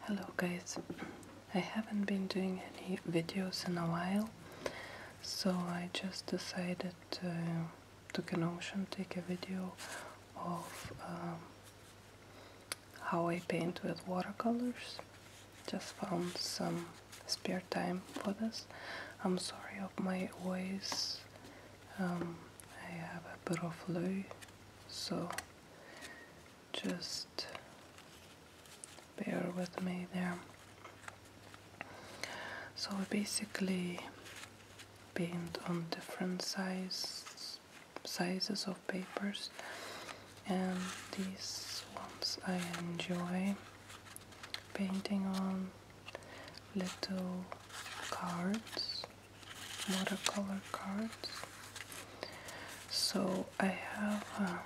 Hello guys, I haven't been doing any videos in a while, so I just decided to, to Kenosha take a video of um, how I paint with watercolors. Just found some spare time for this. I'm sorry of my voice um, I have a bit of flu, so just bear with me there. So I basically paint on different size, sizes of papers and these ones I enjoy painting on little cards, watercolor cards. So I have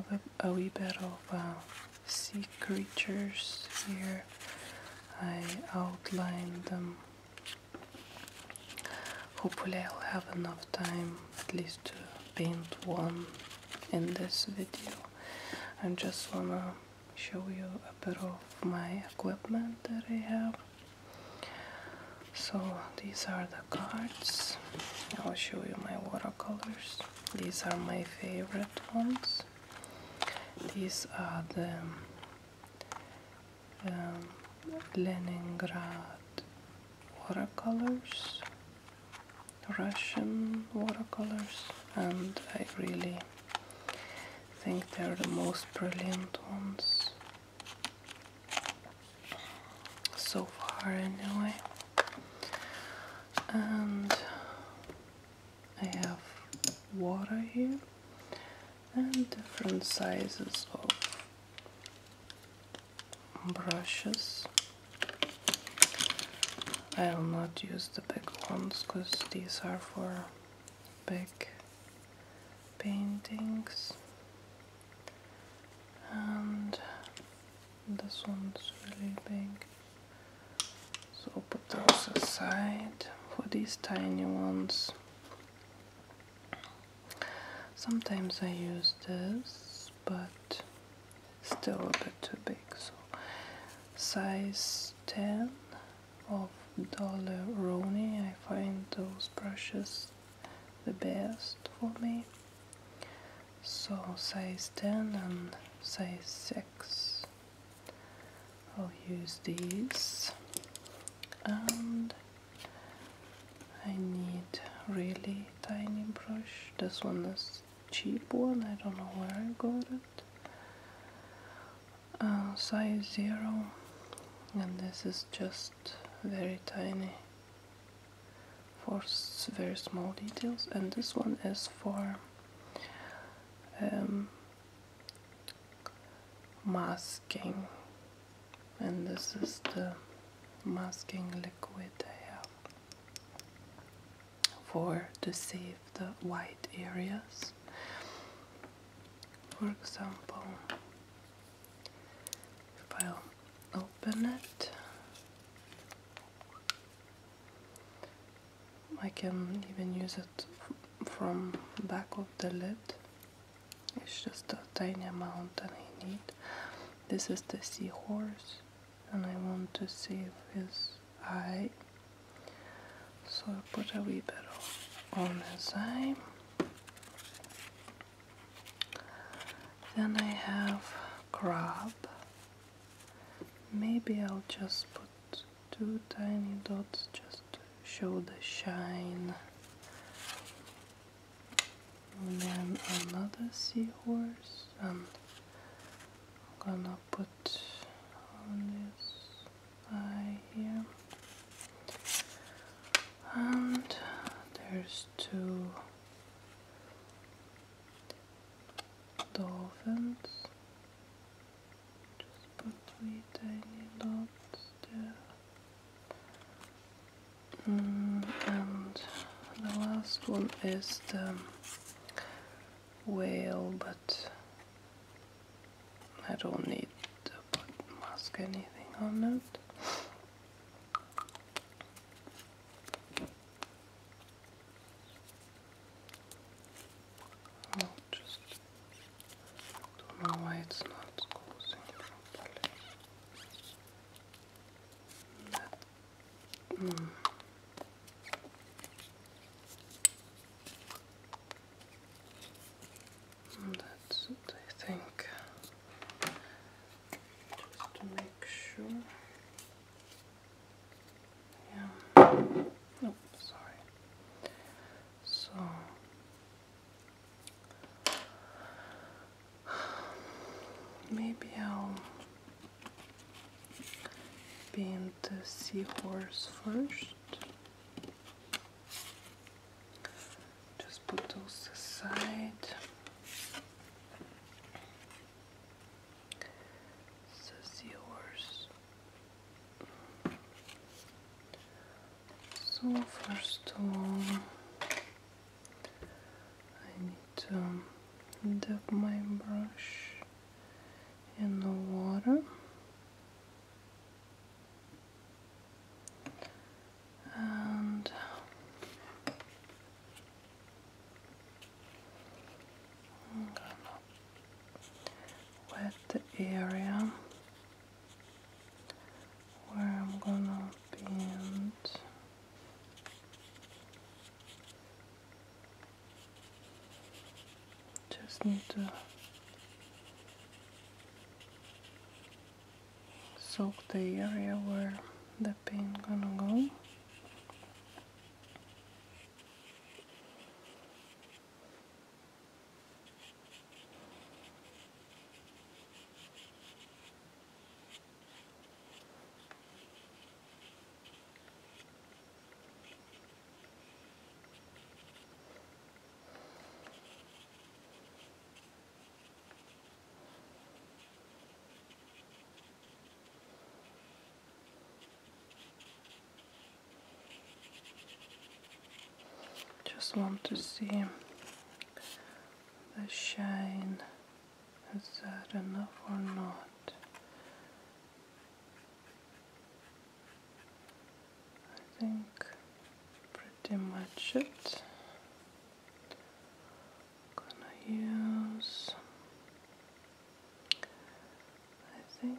uh, a, wee bit of um, sea creatures here. I outlined them. Hopefully I'll have enough time at least to paint one in this video. I just wanna show you a bit of my equipment that I have. So these are the cards. I'll show you my watercolors. These are my favorite ones. These are the um, um, Leningrad watercolors, Russian watercolors, and I really I think they're the most brilliant ones so far, anyway. And I have water here and different sizes of brushes. I'll not use the big ones because these are for big paintings and this one's really big so put those aside for these tiny ones sometimes I use this but still a bit too big so size 10 of dollar Roni, I find those brushes the best for me. So size 10 and size 6. I'll use these. And I need really tiny brush. This one is cheap one. I don't know where I got it. Uh, size 0 and this is just very tiny for very small details and this one is for um, masking and this is the masking liquid I have for to save the white areas. For example, if I'll open it, I can even use it from back of the lid. It's just a tiny amount that I need. This is the seahorse and I want to save his i So put a wee on the side. Then I have crab. Maybe I'll just put two tiny dots just to show the shine. And then another seahorse and I'm gonna put on this eye here. And there's two dolphins. Just put three tiny mm, and the last one is the well, but I don't need to mask anything on it. Oh, just don't know why it's not closing properly. That, mm, Mm, that's it, I think. Just to make sure. Yeah. Oh, sorry. So. Maybe I'll paint the seahorse first. Just put those aside. So seahorse. So first of all, I need to dip my brush in the water and I'm gonna wet the area where I'm gonna bend. Just need to soak the area where the paint gonna go. Just want to see the shine. Is that enough or not? I think pretty much it. I'm gonna use I think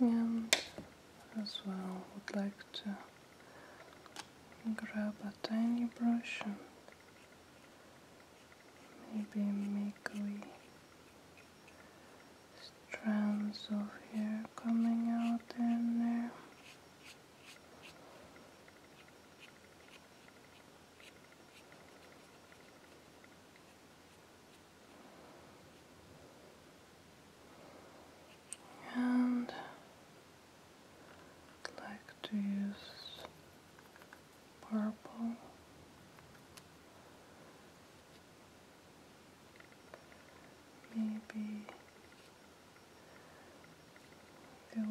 and as well would like to grab a tiny brush and maybe make little strands of hair coming out in And i like to use purple. Maybe the there.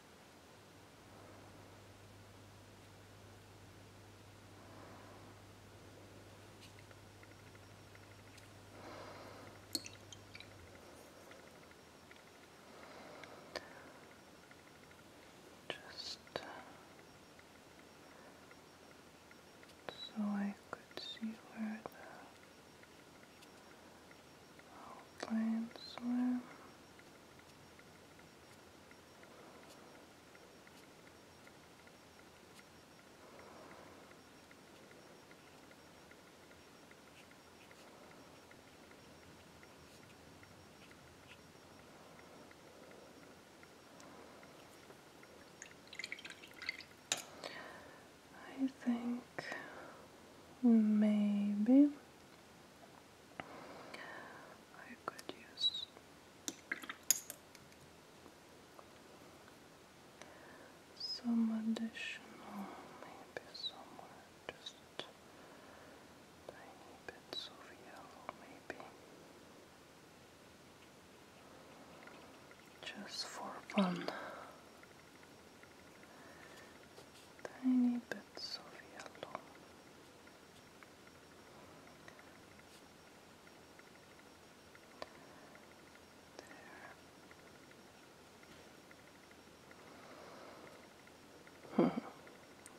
Just uh, so I could see where the outline swim. I think maybe I could use. Some additional, maybe somewhere, just tiny bits of yellow, maybe. Just for fun. Tiny bits of yellow. Hmm.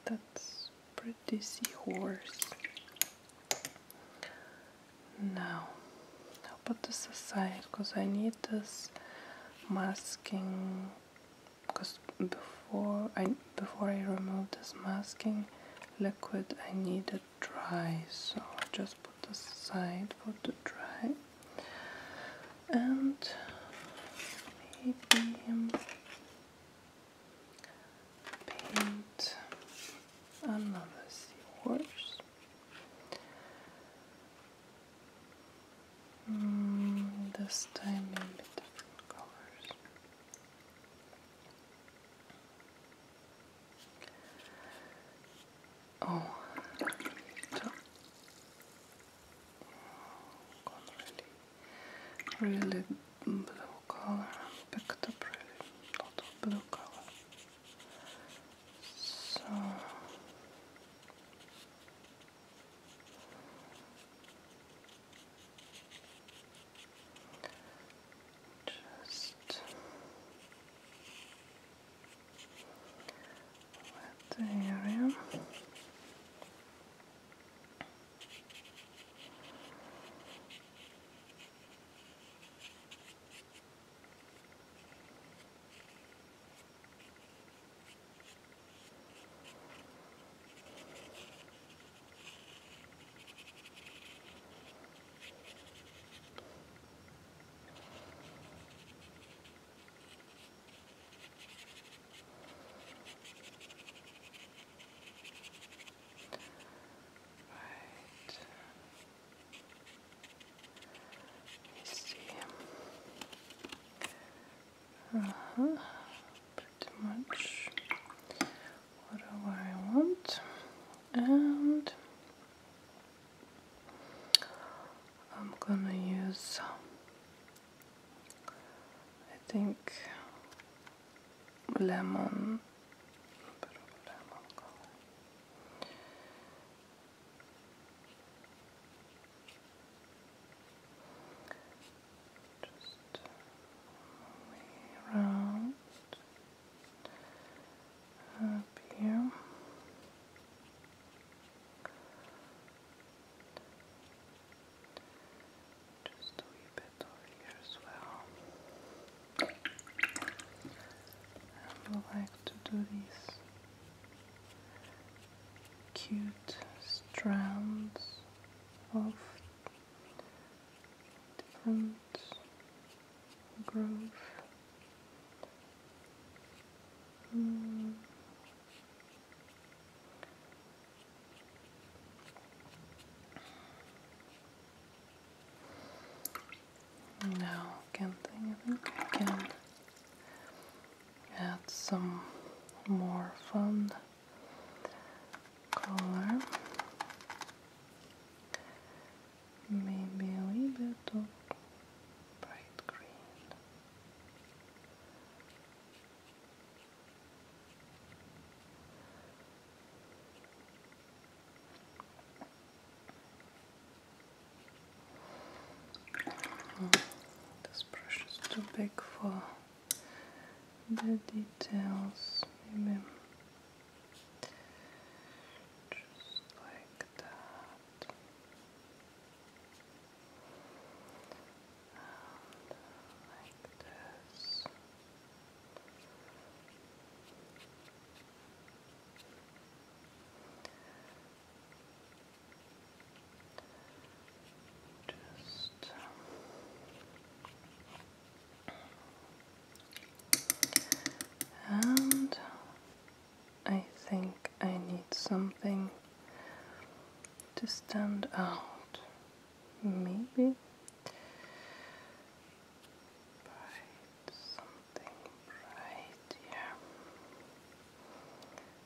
That's pretty seahorse. Now, I'll put this aside because I need this masking because before I before I remove this masking liquid I need it dry so I just put this aside for to dry and maybe um, paint another seahorse Mm, this time maybe different colors. Oh, oh really, really blue color. Picked up really a lot of blue color. So. Just wet the area. Right. You see, uh -huh. Pretty much whatever I want, and I'm gonna use, I think, lemon. Just uh, around up here. Just do a bit over here as well. I would like to do this cute strands of different growth. Hmm. No, can't think. I think add some more fun color. Maybe a little bright green. This brush is too big for the details. Maybe just like that. like this. Just and I think I need something to stand out, maybe. Bright, something bright, yeah.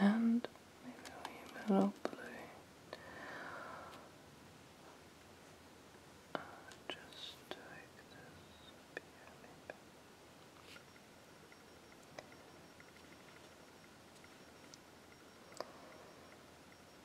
and maybe a little blue. just take this back.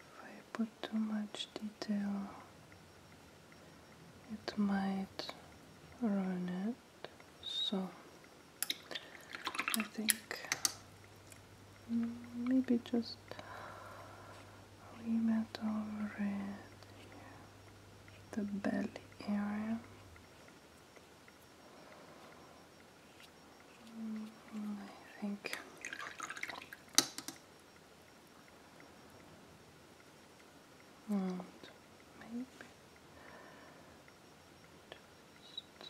If I put too much detail, it might ruin it. So I think maybe just limit over it, here, the belly area. I think. And maybe just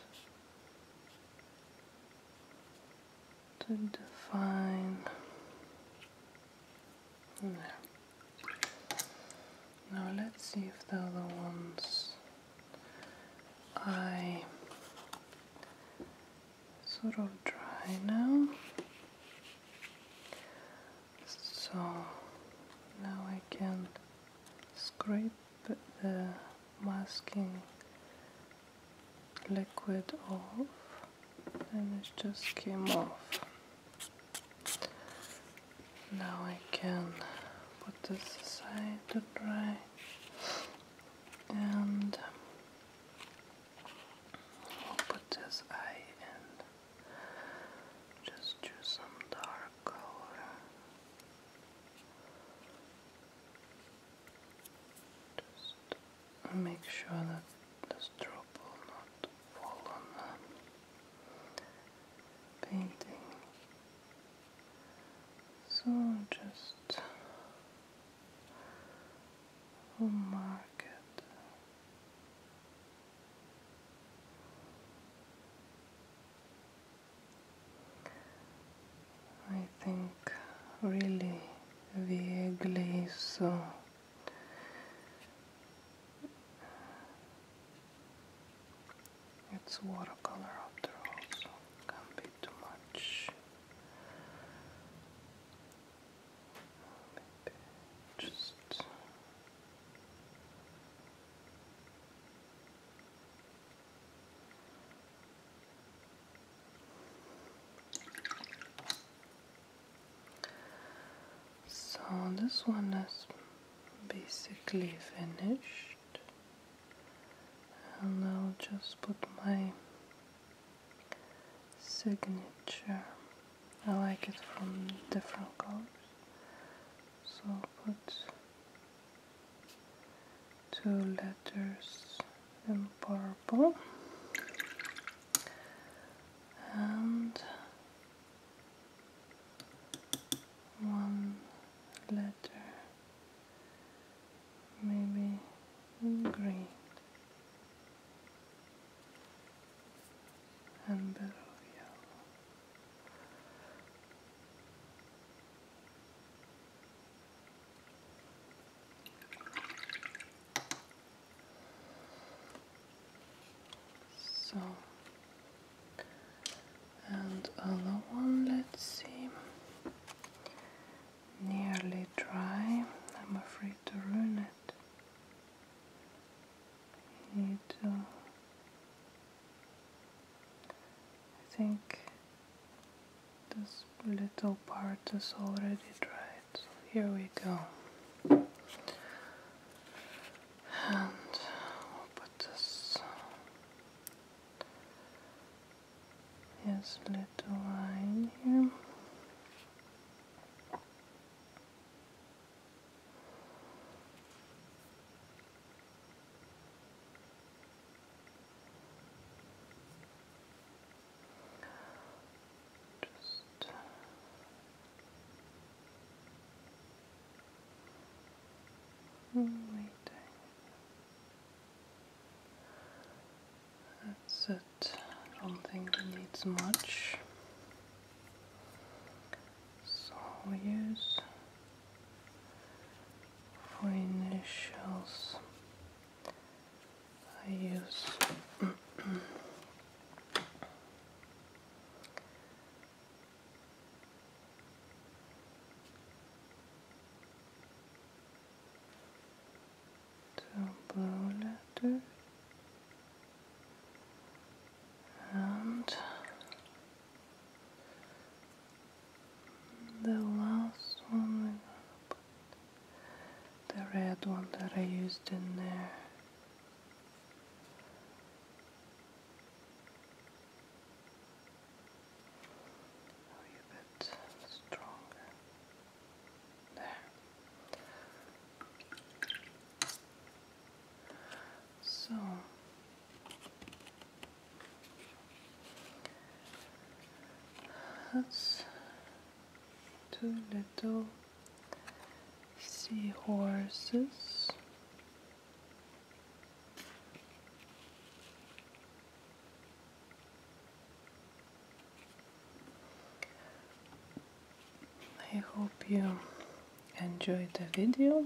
to define there. Now let's see if the other ones I sort of dry now. So now I can scrape the masking liquid off and it just came off. Now I can put this aside to dry and I'll put this eye in. Just choose some dark color just make sure that this drop will not fall on the painting so just mark it. I think really vaguely so it's watercolor after all, so can't be too much. Maybe just so this one is basically finished and I'll just put my signature. I like it from different colors, so I'll put two letters in purple and one letter, maybe green, and below So and other one let's see nearly dry I'm afraid to ruin it need to I think this little part is already dried here we go and we'll put this little line here. Just that's it. I don't think it needs much. So we use for initials. I use So blue letter and the last one the red one that I used in there Oh, a bit stronger. There. So that's two little seahorses I hope you enjoyed the video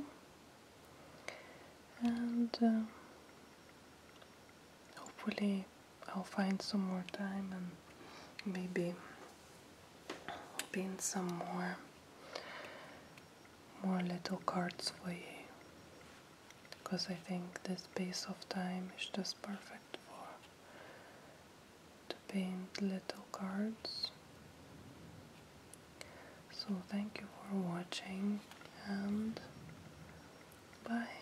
and uh, hopefully I'll find some more time and maybe been some more more little cards for you because I think this piece of time is just perfect for to paint little cards so thank you for watching and bye